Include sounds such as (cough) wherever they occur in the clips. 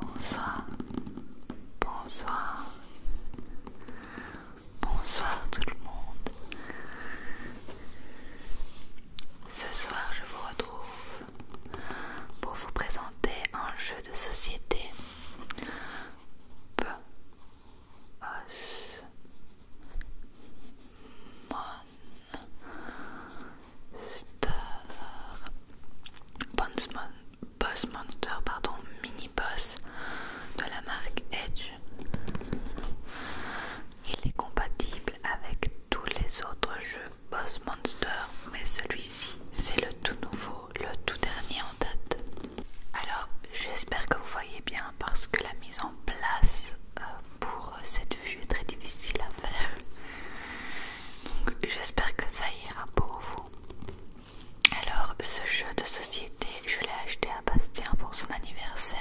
Bonsoir, bonsoir, bonsoir tout le monde. Ce soir, je vous retrouve pour vous présenter un jeu de société. Star Boss, Monster pardon mini boss de la marque Edge il est compatible avec tous les autres jeux Boss Monster mais celui-ci c'est le tout nouveau le tout dernier en date alors j'espère que vous voyez bien parce que la mise en place euh, pour cette vu est très difficile à faire. Donc j'espère que ça ira pour vous. Alors ce jeu de société, je l'ai acheté à Bastien pour son anniversaire.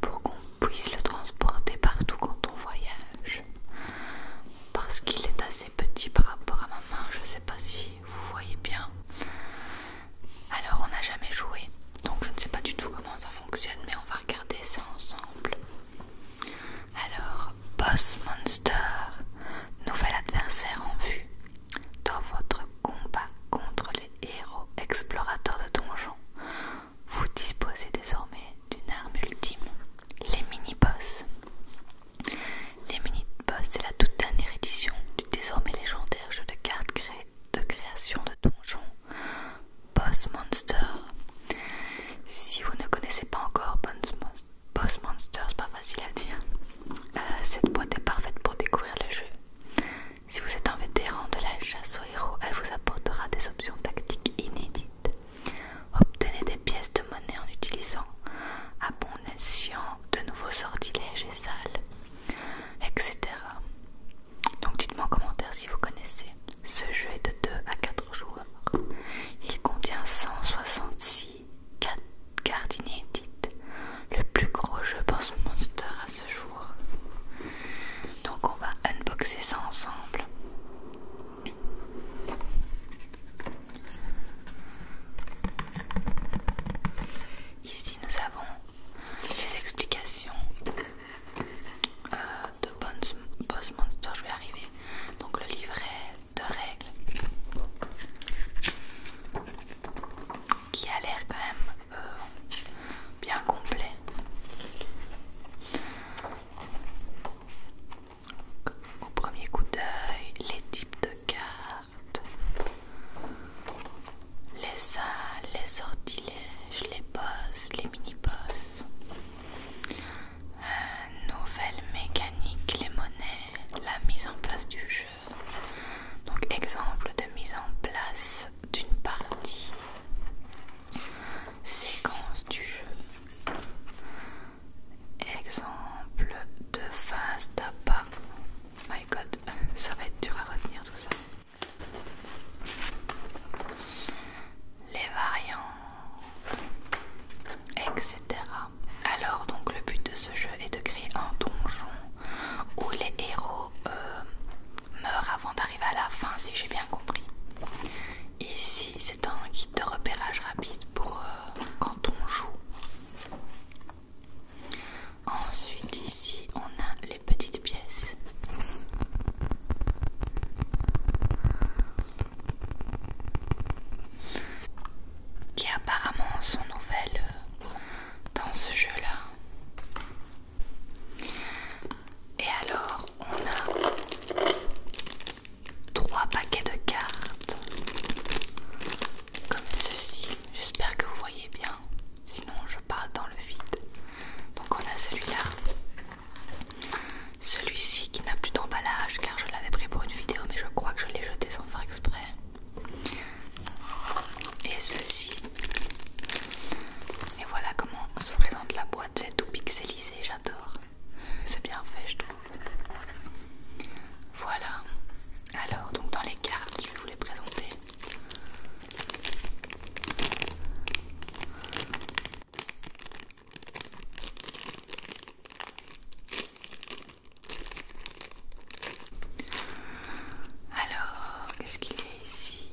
Pour qu'on puisse le transporter partout quand on voyage. Parce qu'il est assez petit par rapport à ma main, je sais pas si vous voyez bien. Alors on n'a jamais joué. Donc je ne sais pas du tout comment ça fonctionne, mais on va regarder ça ensemble. Alors, Boss Monster, nouvel adversaire en vue dans votre combat contre les héros explorateurs de donjons. Vous disposez désormais d'une arme ultime, les mini-boss. Les mini-boss, c'est la toute dernière édition du désormais légendaire jeu de cartes de création de donjons Boss Monster. Si vous ne connaissez pas encore Boss Monster, c'est pas facile à dire. Euh, cette boîte est parfaite pour découvrir le jeu. Si vous êtes un vétéran de la chasse aux héros, elle vous apportera des options tactiques inédites. Obtenez des pièces de monnaie en utilisant à de nouveaux sortilèges et salles, etc. Donc dites-moi en commentaire si vous connaissez. Ce jeu est de 2 à 4 joueurs. Il contient 166 cartes inédites. Le plus gros jeu de Monster à ce jour. Donc on va unboxer ça ensemble. Ici nous avons les explications euh, de Boss Monster, je vais arriver. Donc le livret de règles qui a l'air quand même euh, bien complet. Au premier coup d'œil, les types de cartes les salles, les sortilèges, les bosses, les mini-bosses, nouvelle mécanique, les monnaies, la mise en place du jeu. Donc exemple de mise en place d'une partie, séquence du jeu. Exemple de phase d'appât. My god, (laughs) ça va être dur à retenir tout ça les variants, etc. Alors donc le but de ce jeu est de créer un donjon où les héros euh, meurent avant d'arriver à la fin si j'ai bien compris. Ici c'est un guide de repérage rapide pour euh, quand on joue. Ensuite ici on a les petites pièces. Qui apparemment sont nouvelles euh, dans ce jeu-là. Et alors on a trois paquets de cartes comme ceci. J'espère que vous voyez bien sinon je parle dans le vide. Donc on a celui-là, celui-ci qui n'a plus d'emballage car je l'avais pris pour une vidéo mais je crois que je l'ai jeté sans faire exprès. Et ceci. Et voilà comment se présente la boîte, c'est tout pixelisé, j'adore. C'est bien fait je trouve. Voilà. Alors donc dans les cartes, je vais vous les présenter. Alors, qu'est-ce qu'il y a ici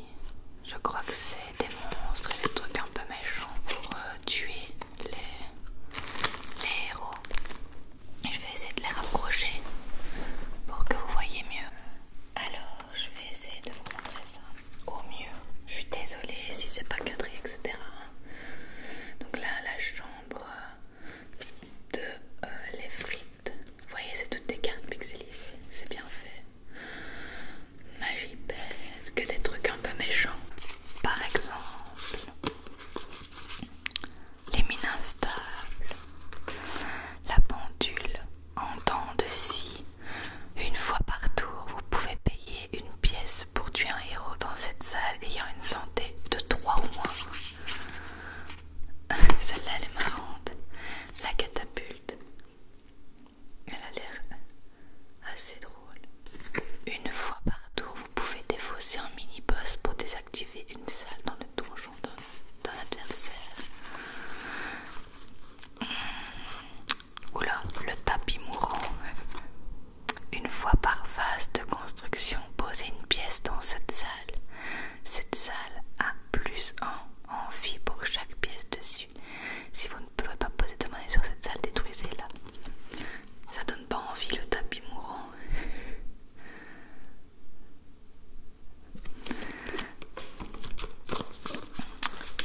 Je crois que c'est des monstres et des trucs un peu méchants pour euh, tuer les, héros. je vais essayer de les rapprocher pour que vous voyez mieux. Alors, je vais essayer de vous montrer ça au mieux. Je suis désolée si c'est pas cadré, etc. Donc là, la chambre de euh, les frites. Vous voyez, c'est toutes des cartes pixelisées. C'est bien fait. Magie bête, que des trucs un peu méchants. Par exemple, les mines instables, la pendule. En temps de si une fois par tour, vous pouvez payer une pièce pour tuer un héros dans cette salle ayant une santé de 3 ou moins. (laughs) Celle-là, elle est marrante. La catapulte. Elle a l'air assez drôle. Une fois par tour, vous pouvez défausser un mini-boss pour désactiver une salle dans le donjon d'un adversaire. Oula, le tapis mourant. Une fois par phase de construction, Posez une pièce dans cette salle. Cette salle a plus envie en pour chaque pièce dessus. Si vous ne pouvez pas poser de monnaie sur cette salle, détruisez là Ça donne pas envie le tapis mourant.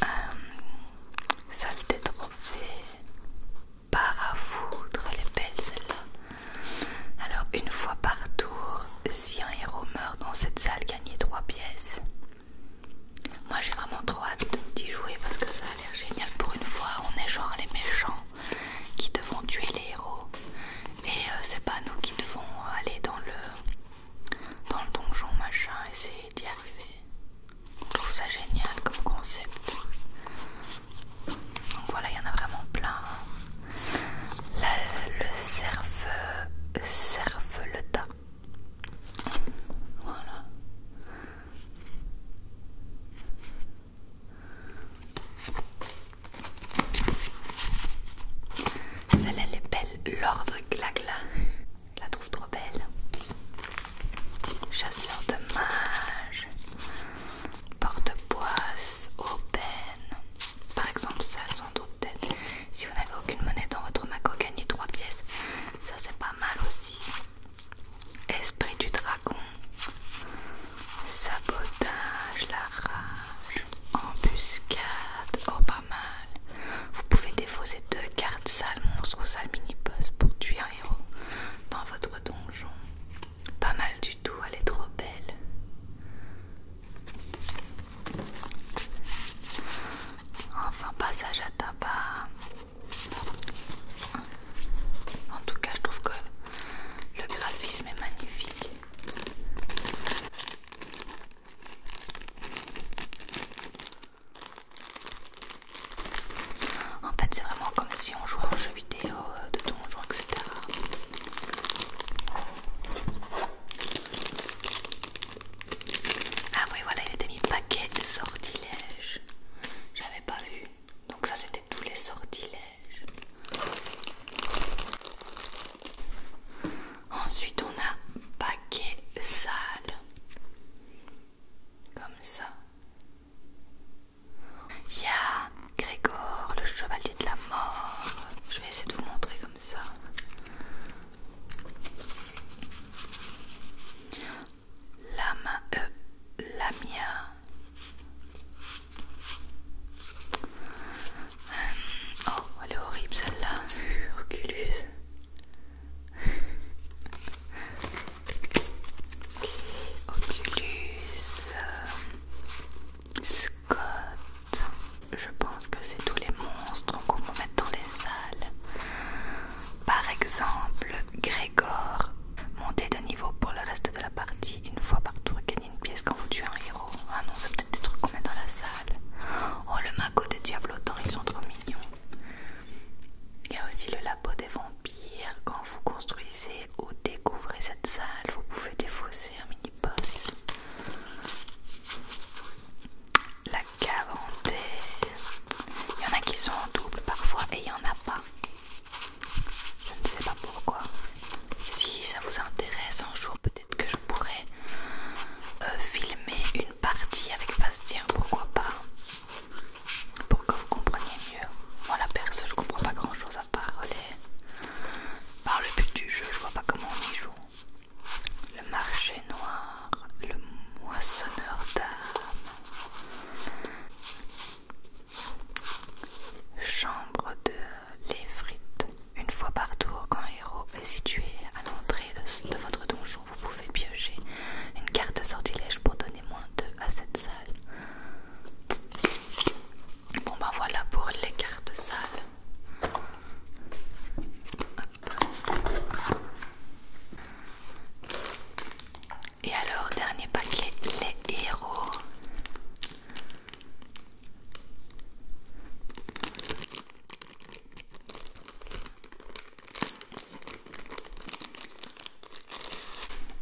Euh, salle des par à foudre, belle celle-là. Alors, une fois par tour, si un héros meurt dans cette salle, gagner 3 pièces. Moi j'ai vraiment trop hâte d'y jouer parce que ça a l'air génial. Pour une fois, on est genre les méchants qui devons tuer les héros et euh, c'est pas nous ils aller dans le, dans le donjon, machin, essayer d'y arriver. Je trouve ça génial comme concept. Donc voilà, il y en a vraiment plein. Hein. le cerf, cerf le tas. Voilà. Celle-là, elle est belle. L'ordre glagla. la trouve trop belle. Chasseur de mages. Porte-boisse. Aubaine. Par exemple, ça, sans doute. Si vous n'avez aucune monnaie dans votre macro, gagnez 3 pièces. Ça, c'est pas mal aussi. Esprit du dragon. Sabotage. La race embuscade, oh pas mal. Vous pouvez défausser deux cartes, sale monstre ou sale mini pour tuer un héros dans votre donjon. Pas mal du tout, elle est trop belle. Enfin, passage à tabac. En tout cas, je trouve que le graphisme est magnifique. En fait, c'est vraiment comme si on jouait en jeu vidéo euh, de donjon, etc. Ah oui, voilà, il était mis paquet de sortilèges. J'avais pas vu. Donc ça, c'était tous les sortilèges. Ensuite, on a paquet sale. Comme ça. Il y a Grégor, le chevalier de la mort. Je vais essayer de vous montrer comme ça. main la euh, Lamia, euh, oh, elle est horrible celle-là. Oculus. Oculus. Euh, Scott. Je pense que c'est tous les monstres qu'on peut mettre dans les salles. Par exemple, Gregor, Monter de niveau pour le reste de la partie une fois par tour une pièce quand vous tuez un héros. Ah non, c'est peut-être des trucs qu'on met dans la salle. Oh, le magot de diablotants ils sont trop mignons. Il y a aussi le labo des vampires. Quand vous construisez ou découvrez cette salle, vous pouvez défausser un mini-boss. La cave Il y en a qui sont en double parfois et il y en a pas. Je ne sais pas pourquoi si ça vous intéresse un jour peut-être que je pourrais euh, filmer une partie avec Bastien pourquoi pas pour que vous compreniez mieux moi la perso je comprends pas grand chose à parler, par le but du jeu je vois pas comment on y joue le marché noir le moissonneur d'âme chambre de les frites. Une fois par tour, quand Héros est situé à l'entrée de, votre donjon, vous pouvez piocher une carte de sortilège pour donner moins 2 à cette salle. Bon bah voilà pour les cartes sales. Et alors, dernier paquet, les héros.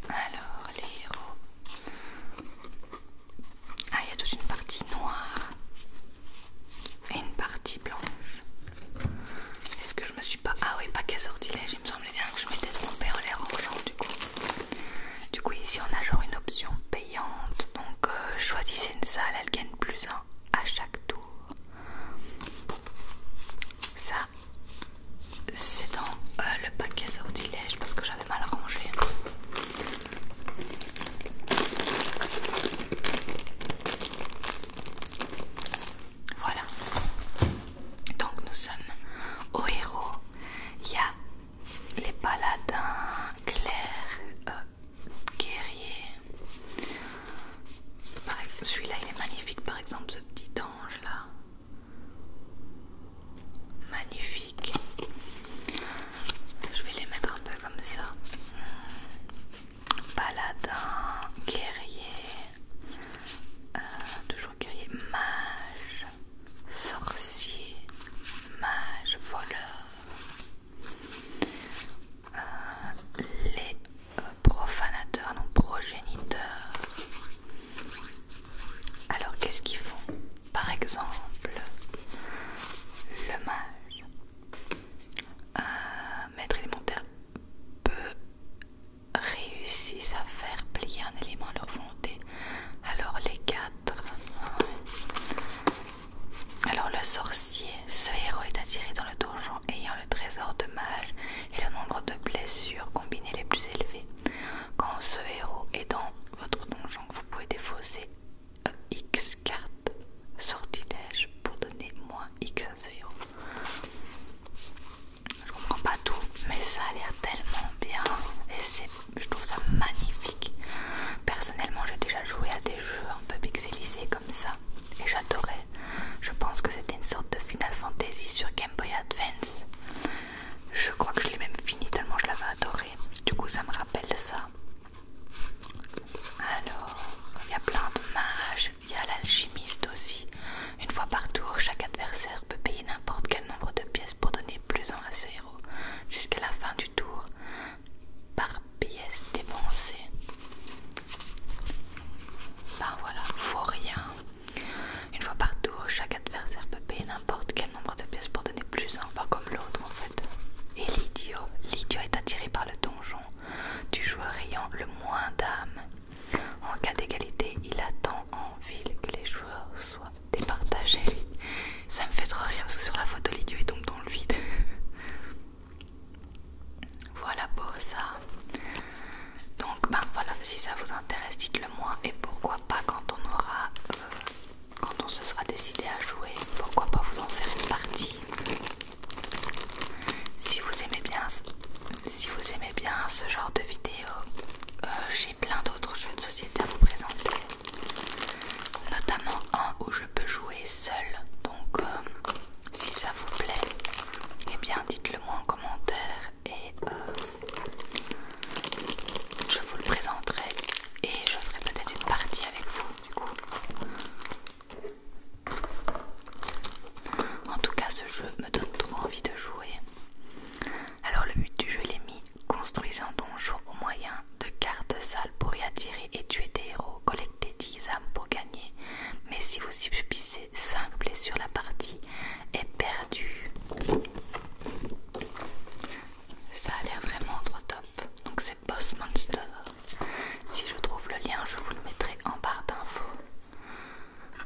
Alors, les héros. Ah, il y a toute une partie noire et une partie blanche. Est-ce que je me suis pas. Ah, oui, pas qu'à sortilège, il me semblait bien que je m'étais trompé en les rangeant du coup. Du coup, ici on a genre une option B donc euh, choisissez une salle, elle gagne plus un à chaque tour. Ça, c'est dans euh, le paquet sortilège parce que j'avais mal rangé. Voilà. Donc nous sommes au héros. Il y a les paladins clairs euh, guerriers. Celui-là il est magnifique par exemple, ce petit ange là. Magnifique. Je vais les mettre un peu comme ça. Paladin, guerrier, euh, toujours guerrier, mage sorcier, mage, voleur. Euh, les euh, profanateurs, non progéniteurs. Alors qu'est-ce qu'ils font Par exemple, le mage, Un euh, maître élémentaire, peut réussir à faire plier un élément à leur volonté. Alors les gars alors le sorcier, ce héros est attiré dans le donjon ayant le trésor de mage et le nombre de blessures combinées les plus élevés. Quand ce héros est dans votre donjon, vous pouvez défausser X cartes sortilège pour donner moins X à ce héros. Je comprends pas tout, mais ça a l'air tellement bien et je trouve ça magnifique. Personnellement, j'ai déjà joué à des jeux un peu pixelisés comme ça et j'adorais. Je pense que c'était une sorte de Final Fantasy sur Game Boy Advance. Je crois que je l'ai même fini tellement je l'avais adoré. Du coup, ça me rappelle ça. Alors, il y a plein de mages, il y a l'alchimiste aussi. Une fois par tour, chaque adversaire peut payer n'importe quel nombre de pièces pour donner plus en, jusqu'à la fin du tour par pièce dépensée. Ben voilà, faut rien. Une fois par tour, chaque adversaire peut payer n'importe quel nombre de pièces pour donner plus un, pas comme l'autre en fait. Et l'idiot, l'idiot est attiré par le donjon du joueur ayant le moins d'âme. En cas d'égalité, il attend en ville que les joueurs soient départager Ça me fait trop rire parce que sur la photo les tombe dans le vide. (laughs) voilà pour ça. Donc ben voilà, si ça vous intéresse, dites-le moi et pourquoi pas quand on aura euh, quand on se sera décidé à jouer, pourquoi pas vous en faire une partie. Si vous aimez bien, si vous aimez bien ce genre de vidéo, euh, plein d'autres jeux de société à vous présenter, notamment un où je peux jouer seul. Donc, euh, si ça vous plaît, et eh bien dites-le moi en commentaire et euh, je vous le présenterai et je ferai peut-être une partie avec vous du coup. En tout cas, ce jeu me donne trop envie de jouer. Alors, le but du jeu, il est mis Construisez un donjon au moyen de cartes sales pour y attirer et tuer des héros, Collectez 10 âmes pour gagner. Mais si vous subissez 5 blessures, la partie est perdue. Ça a l'air vraiment trop top. Donc c'est Boss Monster. Si je trouve le lien, je vous le mettrai en barre d'infos.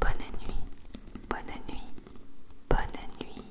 Bonne nuit, bonne nuit, bonne nuit.